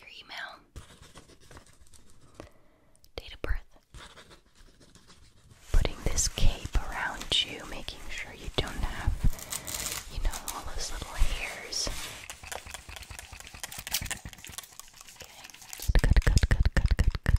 Your email, date of birth. Putting this cape around you, making sure you don't have, you know, all those little hairs. Okay. Cut, cut, cut, cut, cut, cut,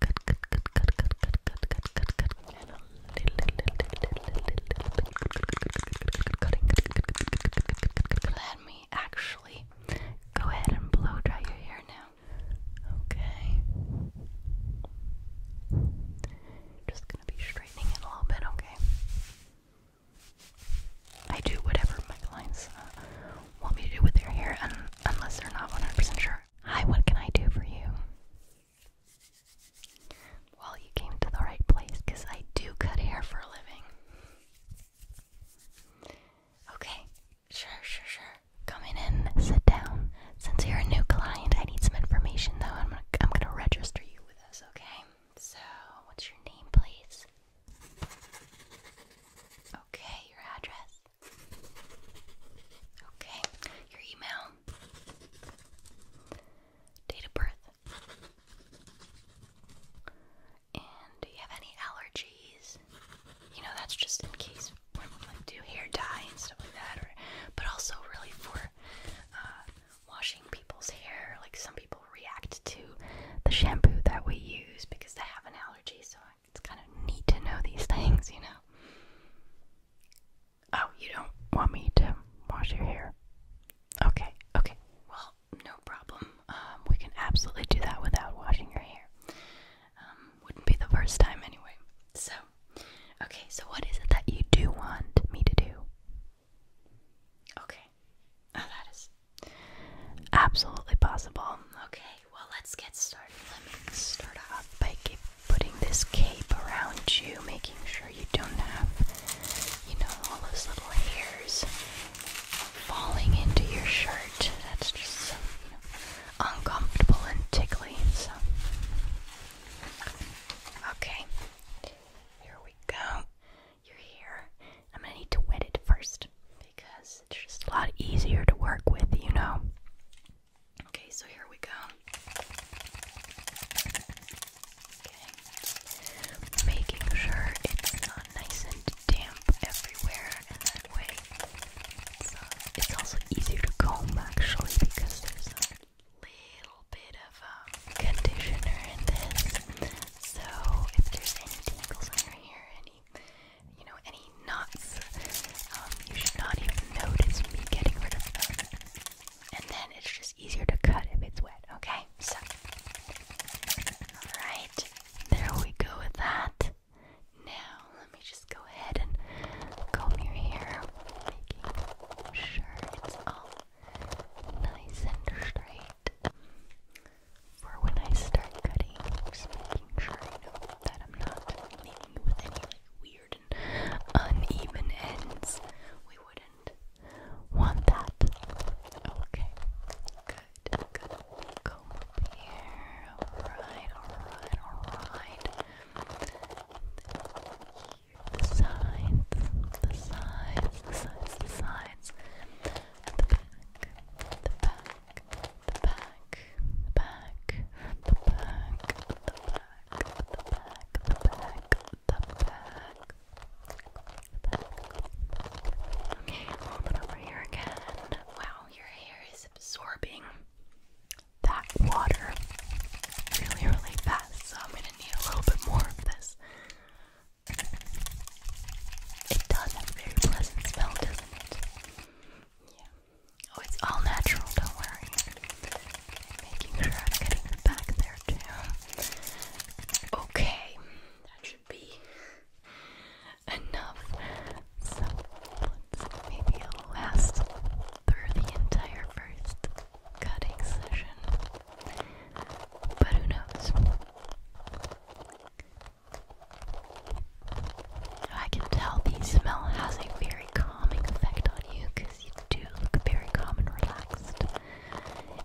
cut, cut, cut, cut, cut, cut, cut, cut, cut, Let me actually go ahead and blow dry your hair now. Okay. Just gonna be straightening it a little bit, okay? I do whatever my clients uh, want me to do with their hair, and unless they're not 100% sure. Hi, what can I do for you? Well, you came to the right place because I do cut hair for a living. Okay, sure, sure, sure. Come in sit down. Since you're a new client, I need some information though. I'm gonna, I'm gonna register you with us, okay? So, what's your name, please? Okay, your address. Okay, your email date of birth. And do you have any allergies? You know, that's just in case when we like do hair dye and stuff like that, or but also really for uh, washing people's hair. Like some people react to the shampoo that we use because they have an allergy, so it's kind of neat to know these things, you know. Oh, you don't want me to wash your hair? Okay, okay. Well, no problem. Um, we can absolutely do that without washing your hair. Um, wouldn't be the first time anyway. So, okay, so what is it that you do want me to do? Okay. Oh, that is absolutely possible. Okay, well, let's get started. Let me start off by putting this cape around you, making sure you don't have, you know, all those little hairs falling into your shirt. That's just so, uncomfortable and tickly. So, okay, here we go. Your hair. I'm gonna need to wet it first because it's just a lot easier to work with, you know. Okay, so here we go. Making sure it's nice and damp everywhere, and uh, it's, also easier to comb actually because there's a little bit of um, conditioner in this. So if there's any tangles on your hair, any you know, any knots, um, you should not even notice me getting rid of them and then it's just easier to cut if it's wet. Okay, so all right, there we go with that. Now let me just go ahead and comb your hair, making sure it's all nice and straight for when I start cutting. Just making sure that I'm not leaving you with any like weird and uneven ends. We wouldn't want that. Okay, good, good. Comb here. Alright, alright, alright. The sides, the sides, the sides, the sides. the back, the back, the back, the back, the back, the back, the back, the back. Okay, a little bit over here again. Wow, your hair is absorbing that water really, really fast. So I'm gonna need a little bit more of this. It does have a very pleasant smell, doesn't it? Yeah. Oh, it's all natural, don't worry making sure I'm getting it back there too. Okay, that should be enough. So maybe I'll last through the entire first cutting session. But who knows? I can tell the smell has a very calming effect on you you do look very calm and relaxed.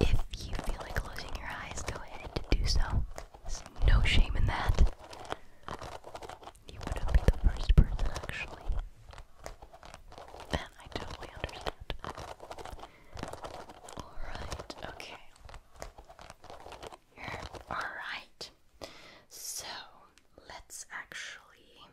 If you feel like closing your eyes, go ahead and do so. no shame in that. You wouldn't be the first person, actually. And I totally understand. Alright, okay. Alright. So, let's actually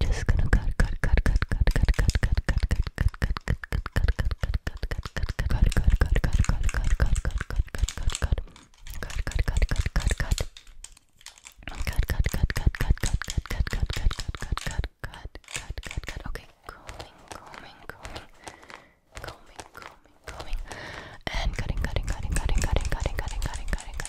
Just gonna cut, cut, cut, cut, cut, cut, cut, cut, cut, cut, cut, cut, cut, cut, cut, cut, Okay, combing, combing, combing, combing, combing, combing, and cutting, cutting, cutting, cutting, cutting, cutting, cutting, cutting, cutting,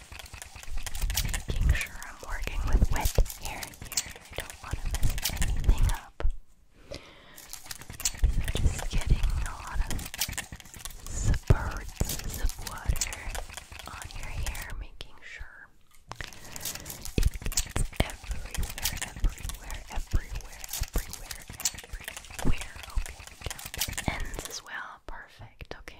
Making sure I'm working with wet hair here. I don't want to mess anything up. just getting a lot of spurts of water on your hair, making sure it gets everywhere, everywhere, everywhere, everywhere, everywhere. Okay, ends as well. Perfect. Okay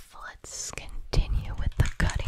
Let's continue with the cutting,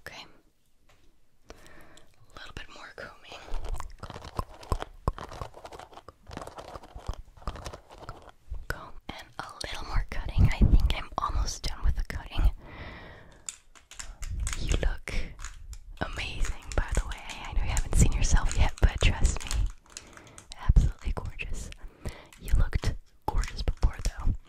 Okay. A little bit more combing. and a little more cutting. I think I'm almost done with the cutting. You look amazing, by the way. I know you haven't seen yourself yet, but trust me. Absolutely gorgeous. You looked gorgeous before, though.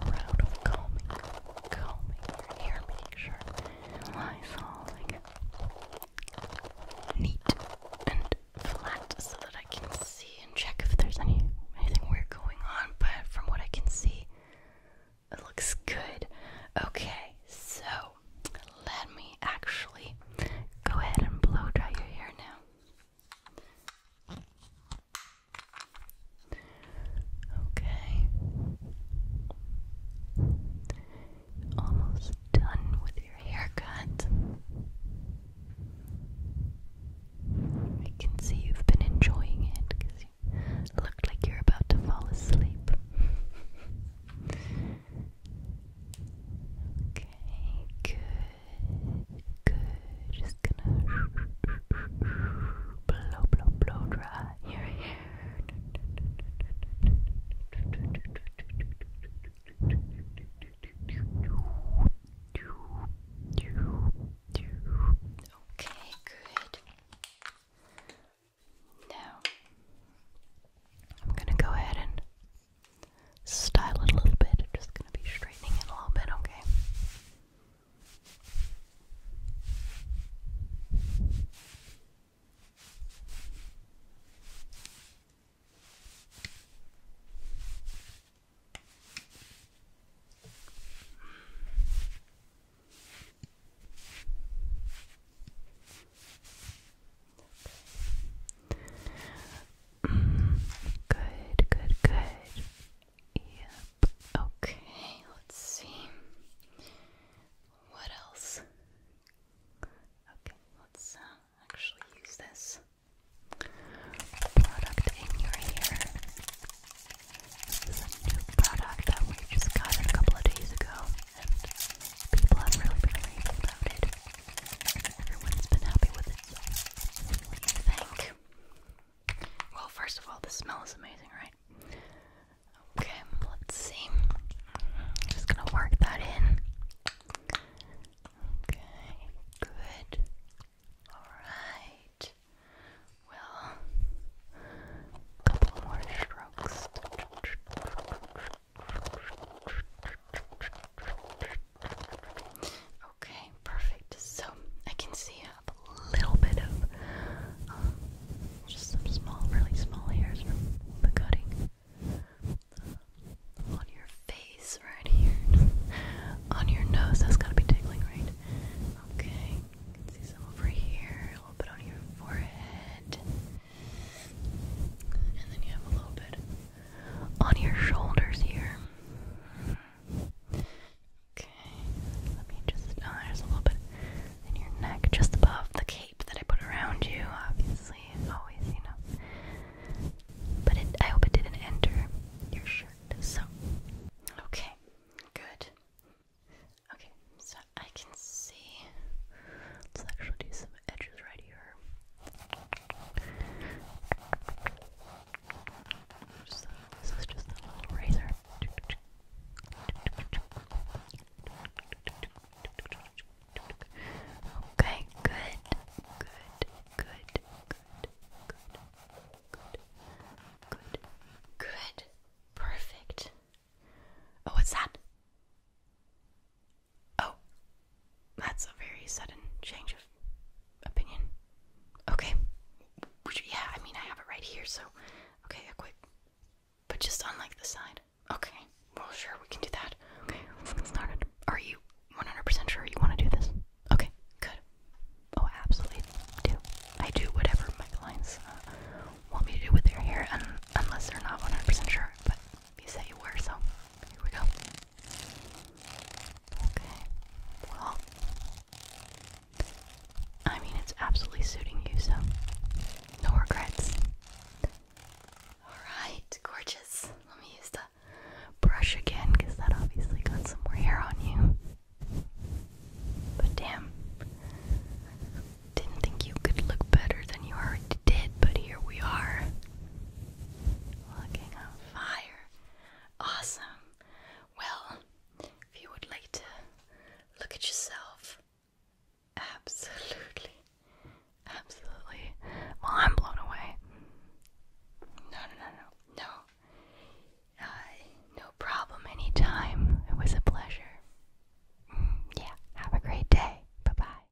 round of combing, combing your hair, making sure it all like neat and flat so that I can see and check if there's any anything weird going on. But from what I can see, it looks good. Okay, so let me actually go ahead and blow dry your hair now. Okay. Almost done with your haircut. I can see you've been enjoying it because you looked like you're about to fall asleep. okay, good. Good. Just gonna blow, blow, blow dry your hair. Okay, good. Now, I'm gonna go ahead and style it a little bit. I'm just gonna be straightening it a little bit, okay? Okay. Mm, good, good, good. Okay, let's see. What else? Okay, let's uh, actually use this product in your hair. This a new product that we just got a couple of days ago, and people have really been raving about it. Everyone's been happy with it. What do you think? Well, first of all, the smell is amazing, right? Okay, let's see. just gonna work that in. Okay, good. Alright. Well, a couple more strokes. Okay, perfect. So I can see a little bit of um, just some small, really small hairs from the cutting uh, on your face right here, on your nose. That's gotta be tickling, right? Okay, can see some over here, a little bit on your forehead, and then you have a little bit on your shoulders here. Okay, let me just. Oh, there's a little bit in your neck, just above the cape that I put around you. Obviously, always, you But it, I hope it didn't enter your shirt. So, okay, good. Okay, so I can see. Let's actually do some edges right here this is just a little razor. Okay, good, good, good, good, good, good, good, perfect. Oh, what's that? Oh, that's a very sudden change of opinion. Okay. Yeah, I mean, I have it right here, so. Okay, a quick. But just on like the side. Okay, well, sure, we can do that. let's get started. Are you 100% sure you want to do this? Okay, good. Oh, absolutely do. I do whatever my clients uh, want me to do with their hair, unless they're not 100% sure. You said you were, so here we go. Okay, well, I mean, it's absolutely suiting you, so no regrets. Alright, gorgeous. Let me use the brush again because that obviously got some more hair on you. But damn, didn't think you could look better than you already did, but here we are. Looking on fire. Awesome. Well, if you would like to look at yourself, absolutely. Absolutely. Well, I'm blown away. No, no, no, no. No. no problem anytime. It was a pleasure. Mm, yeah. Have a great day. Bye bye.